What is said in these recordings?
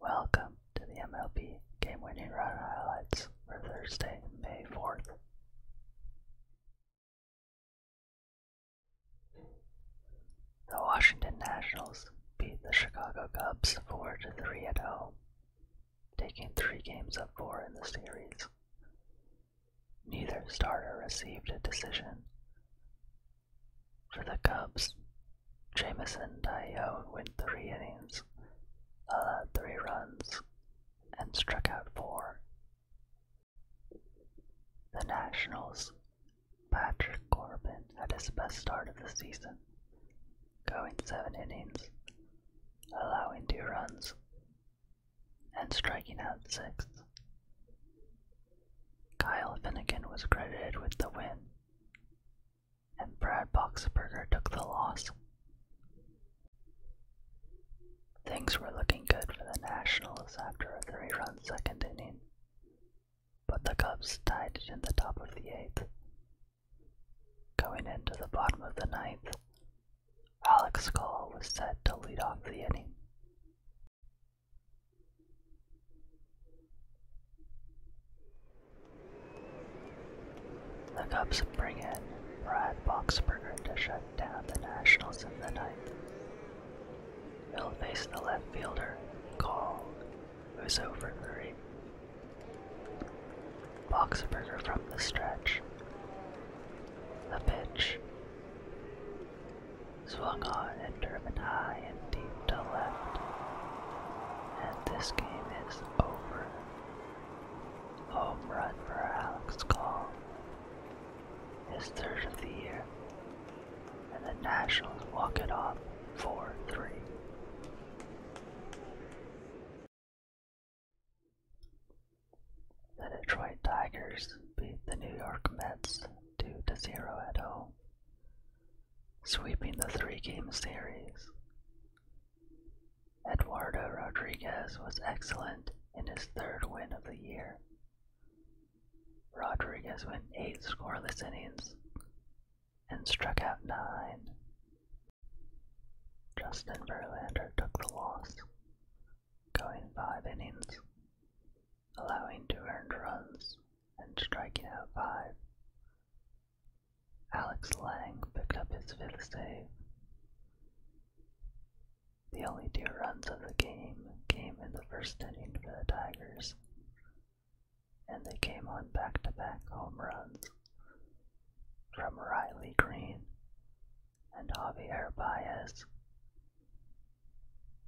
Welcome to the MLB Game Winning Run Highlights for Thursday, May 4th. The Washington Nationals beat the Chicago Cubs 4 3 at home, taking three games of four in the series. Neither starter received a decision. For the Cubs, Jamison Tyone went three innings, allowed three runs, and struck out four. The Nationals, Patrick Corbin had his best start of the season, going seven innings, allowing two runs, and striking out six. Kyle Finnegan was credited with the win and Brad Boxberger took the loss. Things were looking good for the Nationals after a three run second inning, but the Cubs tied it in the top of the eighth. Going into the bottom of the ninth, Alex Call was set to lead off the inning. The Cubs bring in Brad Boxberger to shut down the Nationals in the ninth. He'll face the left fielder, Cole, who's over three. Boxberger from the stretch. The pitch swung on and driven high and deep to left. And this game is over. Home run for Alex Call. His third of the year. And the Nationals walk it off 4 3. The Detroit Tigers beat the New York Mets 2 0 at home sweeping the three game series. Eduardo Rodriguez was excellent in his third win of the year. Rodriguez went eight scoreless innings and struck out nine. Justin Verlander took the loss, going five innings allowing two earned runs and striking out five. Alex Lang picked up his fifth save. The only two runs of the game came in the first inning for the Tigers, and they came on back to back home runs from Riley Green and Javier Baez.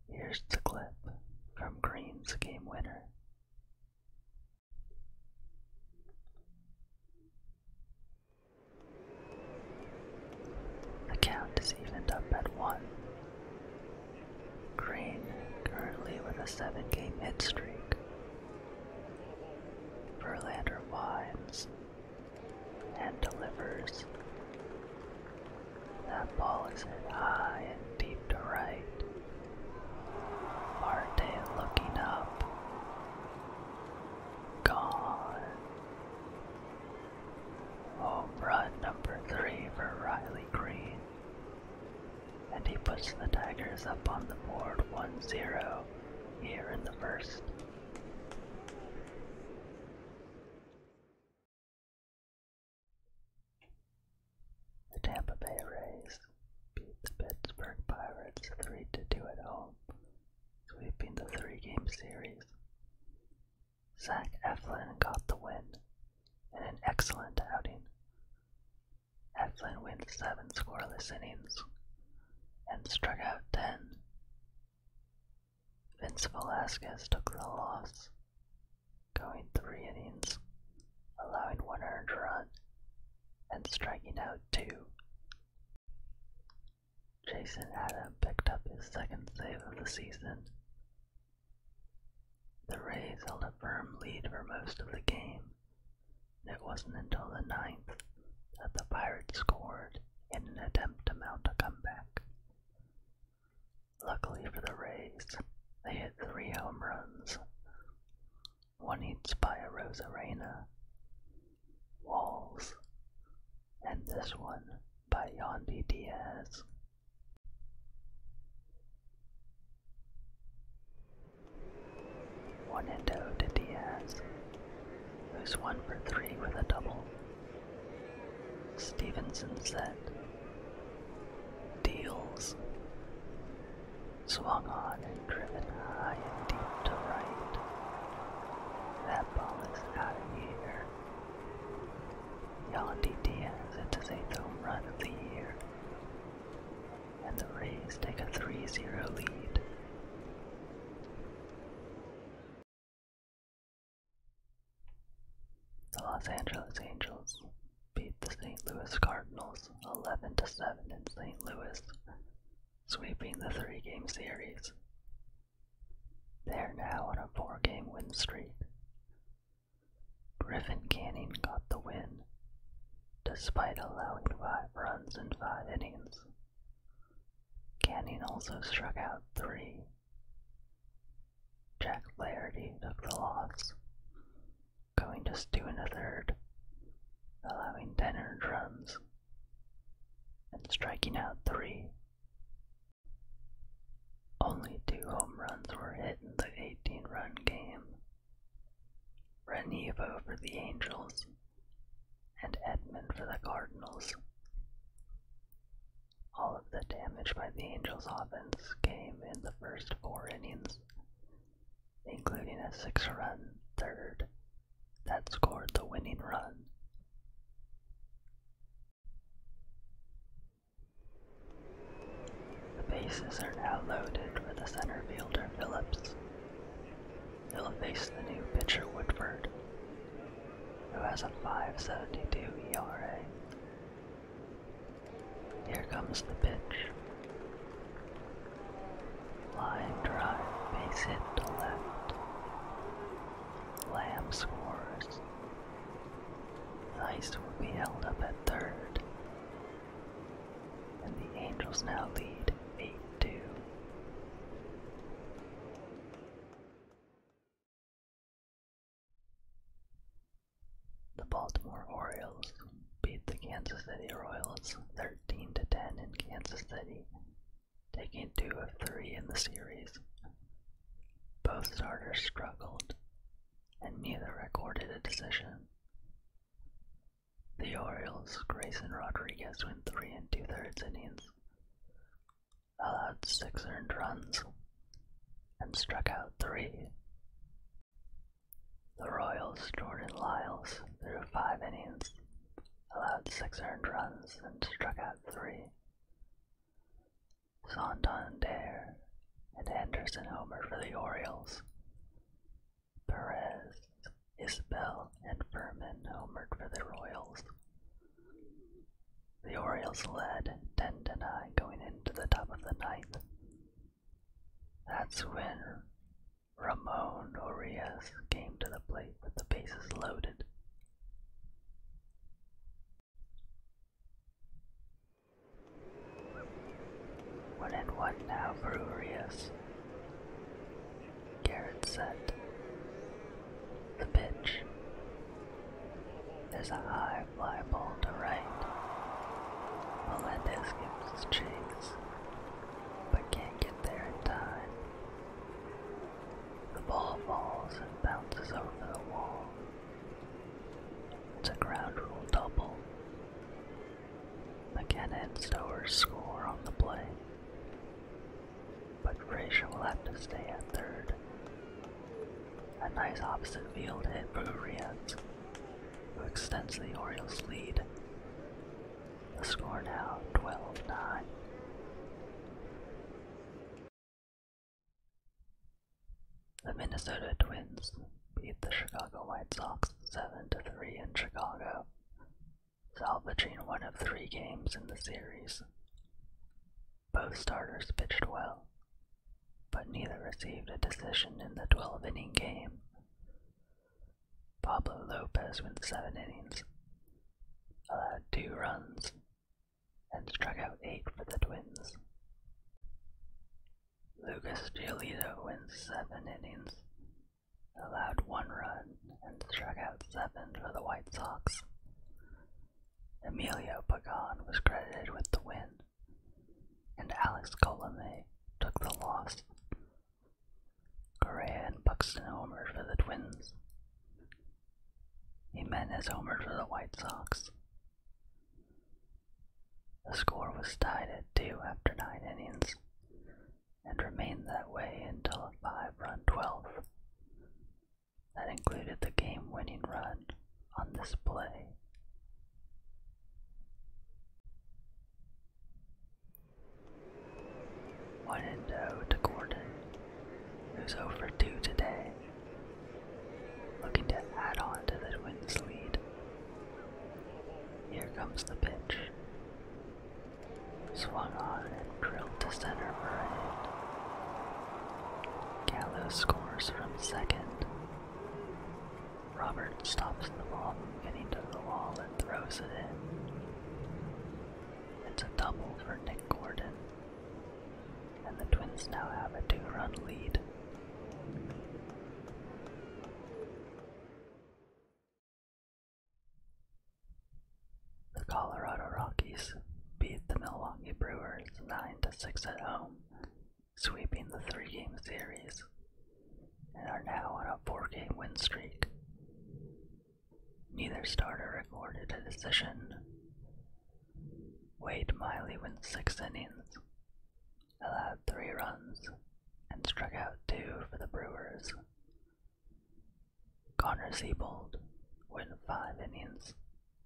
Here's the clip from Green's game winner. The count is evened up at one. Green currently with a seven game hit streak. Verlander winds and delivers. That ball is hit high and deep to right. Marte looking up. Gone. Home run number three for Riley Green. And he puts the Tigers up on the board 1 0 here in the first. The Tampa Bay Rays beat the Pittsburgh Pirates 3 to 2 at home, sweeping the three game series. Zach Eflin got the win in an excellent outing. Eflin wins seven scoreless innings and struck out ten. Vince Velasquez took the loss, going three innings, allowing one earned run, and striking out two. Jason Adam picked up his second save of the season. The Rays held a firm lead for most of the game. It wasn't until the ninth that the Pirates scored in an attempt to mount a comeback. Luckily for the Rays, they hit three home runs, one each by a Walls, and this one by Yandy Diaz. One and oh to Diaz, who's one for three with a double. Stevenson said. Deals. Swung on and driven high and deep to right. That ball is out of here. Yandy Diaz hits his eighth home run of the year. And the Rays take a 3-0 lead. The Los Angeles Angels beat the St. Louis Cardinals 11 to 7 in St. Louis, sweeping the three-game series. They are now on a four-game win streak. Griffin Canning got the win, despite allowing five runs and five innings. Canning also struck out three Jack Flaherty of the loss, going just two and a third, allowing ten earned runs, and striking out three. Only two home runs were hit in the 18 run game. Renevo for the Angels and Edmond for the Cardinals. All of the damage by the Angels' offense came in the first four innings, including a six run third that scored the winning run. The bases are now loaded for the center fielder Phillips. He'll face the new pitcher Woodford, who has a 572 ERA. Here comes the pitch. Line drive, base hit to left. Lamb scores. Ice will be held up at third. And the Angels now lead 8 2. The Baltimore Orioles beat the Kansas City Royals 13 to 10 in Kansas City, taking 2 of 3 in the series. Both starters struggled, and neither recorded a decision. The Orioles' Grayson Rodriguez went 3 and 2 thirds innings, allowed six earned runs, and struck out three. The Royals' Jordan Lyles threw five innings, allowed six earned runs, and struck out three. Santander and Anderson homer for the Orioles. Perez, Isbell, and Furman homered for the Royals, the Orioles led 10 and I going into the top of the ninth. That's when Ramon Urias came to the plate with the bases loaded. One and what now for Urias. Garrett said. The pitch. There's a high fly ball to right. Melendez gives his chase, but can't get there in time. The ball falls and bounces over the wall. It's a ground rule double. McKenna and Stowers score on the play. But Frazier will have to stay at third. A nice opposite field hit for Urians, who extends the Orioles' lead. The score now 12 9. The Minnesota Twins beat the Chicago White Sox 7 3 in Chicago salvaging one of three games in the series. Both starters pitched well, but neither received a decision in the 12 inning game. Pablo Lopez went seven innings, allowed two runs, and struck out eight for the Twins. Lucas Giolito went seven innings, allowed one run and struck out seven for the White Sox. Emilio Pagan was credited with the win, and Alex Colomé took the loss. Correa and Buxton homered for the Twins. Jimenez homered for the White Sox. The score was tied at two after nine innings, and remained that way until a five run 12th. That included the game winning run on this play. One and oh to Gordon, who's over today, looking to add on to the Twins' lead. Here comes the pitch swung on and drilled to center right. Gallo scores from second. Robert stops the ball from getting to the wall and throws it in. It's a double for Nick Gordon. And the Twins now have a two-run lead. The Colorado Rockies beat the Milwaukee Brewers 9 to 6 at home, sweeping the three game series, and are now on a four game win streak. Neither starter recorded a decision. Wade Miley went six innings, allowed three runs, and struck out two for the Brewers, Connor Siebold went five innings,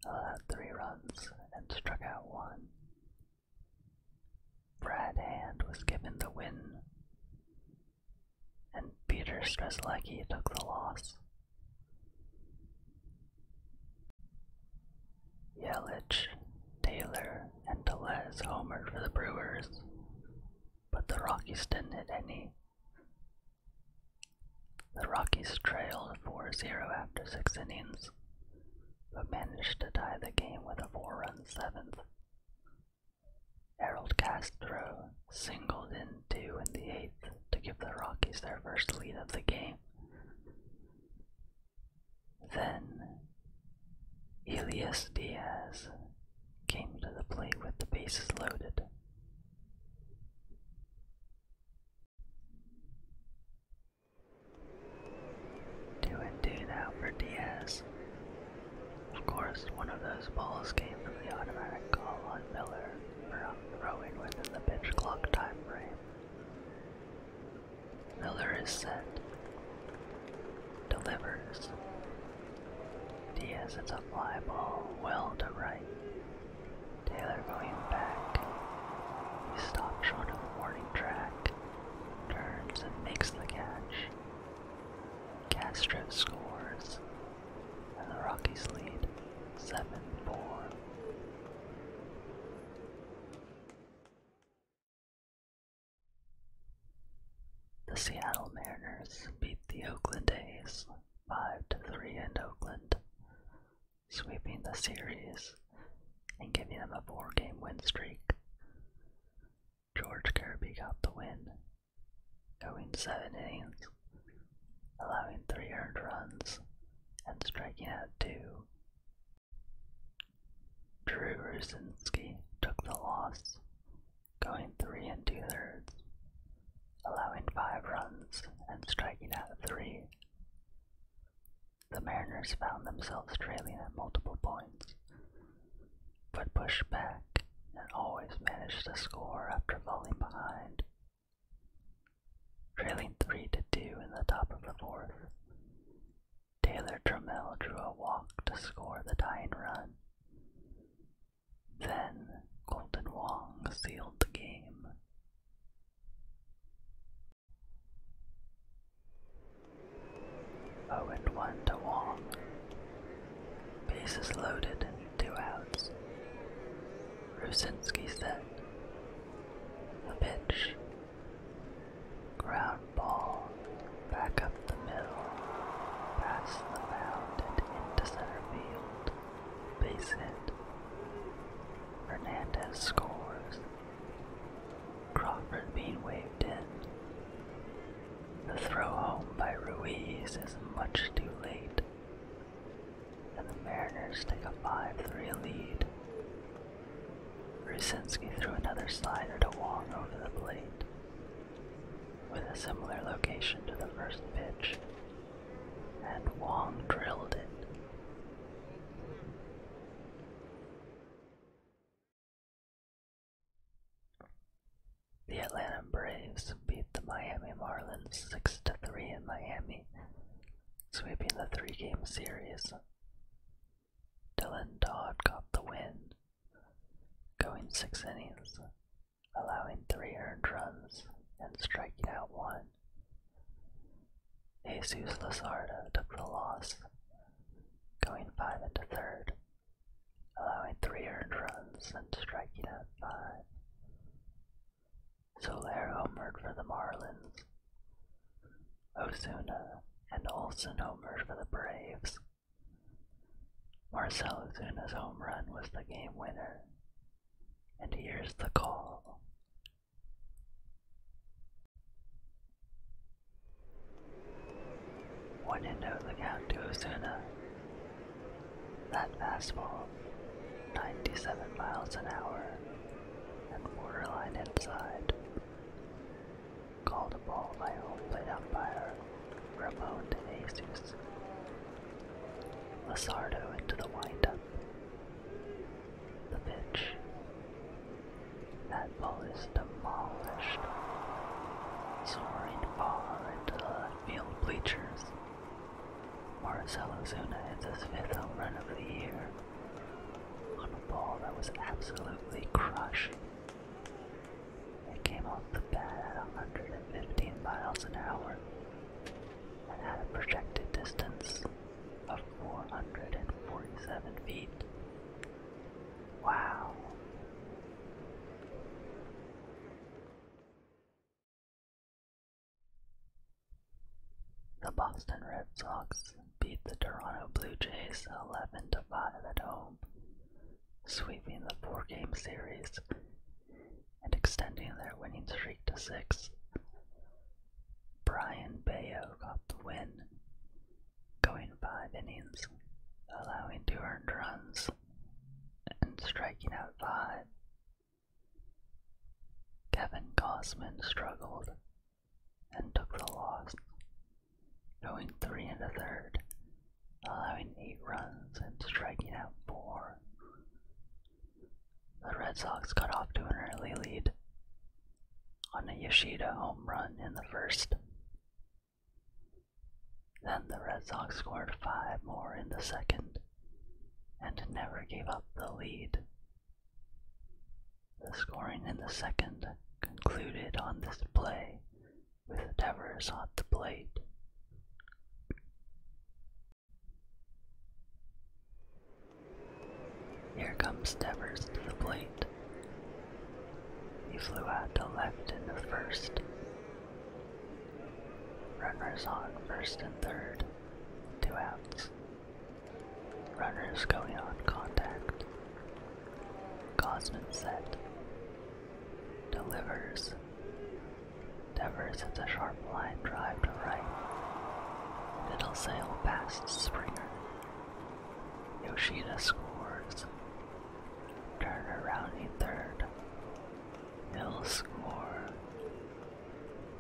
allowed three runs, and struck out one. Brad Hand was given the win, and Peter Strzelecki took the loss. Yelich, Taylor, and Telez homered for the Brewers, but the Rockies didn't hit any. The Rockies trailed 4 0 after six innings, but managed to tie the game with a four run seventh. Harold Castro singled in two in the eighth to give the Rockies their first lead of the game. Then, Elias Diaz came to the plate with the bases loaded. Two and two now for Diaz. Of course, one of those balls came from the automatic call on Miller for throwing within the pitch clock time frame. Miller is set, delivers, Diaz hits a fly ball well to right. Taylor going back. He stops short of the warning track, turns and makes the catch. Castro scores, and the Rockies lead 7 4. The Seattle Mariners beat the Oakland A's 5-3 in Oakland, sweeping the series and giving them a four-game win streak. George Kirby got the win, going seven innings, allowing three earned runs and striking out two. Drew Rusinski took the loss, going three and two thirds, allowing five runs and striking out three. The Mariners found themselves trailing at multiple points, but pushed back and always managed to score after falling behind. Trailing 3 to 2 in the top of the fourth, Taylor Trammell drew a walk to score the tying run. Then Golden Wong sealed the game. Oh and to Wong. Bases loaded, two outs. Rusinski set. The pitch. Ground ball, back up the middle, past the mound and into center field. Base hit. Fernandez scores. Crawford being waved in. The throw home by Ruiz is much too late. And the Mariners take a 5 3 lead. Rusinski threw another slider to Wong over the plate, with a similar location to the first pitch, and Wong drilled it. The Atlanta Braves beat the Miami Marlins 6-3 in Miami, sweeping the three-game series. Dylan Dodd got the win, going six innings, allowing three earned runs and striking out one. Jesus Lazardo took the loss, going five into third, allowing three earned runs and striking out five. Soler homered for the Marlins, Ozuna and Olson homered for the Braves. Marcel Ozuna's home run was the game winner. And here's the call. One and no the count to Osuna. That fastball, 97 miles an hour, and borderline inside called the ball by a home plate umpire Ramon de Jesus. Lizardo into the windup. The pitch. That ball is demolished, soaring far into the left field bleachers. Marcelo Zuna hits his fifth home run of the year, on a ball that was absolutely crushing. It came off the bat at 115 miles an hour and had a projected distance of 447 feet. Wow. The Boston Red Sox beat the Toronto Blue Jays 11 to 5 at home, sweeping the four-game series and extending their winning streak to six. Brian Bayo got the win, going five innings, allowing two earned runs and striking out five. Kevin Gosman struggled, and took the loss, going three and a third, allowing eight runs and striking out four. The Red Sox got off to an early lead on a Yoshida home run in the first. Then the Red Sox scored five more in the second and never gave up the lead the scoring in the second concluded on this play, with Devers on the plate. Here comes Devers to the plate. He flew out to left in the first. Runners on first and third, two outs. Runners going on contact. Gosman set. Delivers. Devers hits a sharp line drive to right. It'll sail past Springer. Yoshida scores. Turner rounding third. Hill score.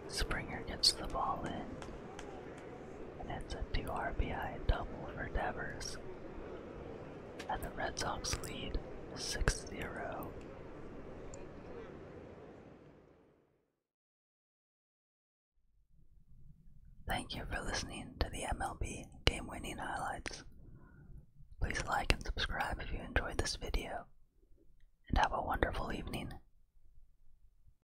Springer gets the ball in and it's a two RBI double for Devers. And the Red Sox lead 6 0. Thank you for listening to the MLB game winning highlights. Please like and subscribe if you enjoyed this video, and have a wonderful evening.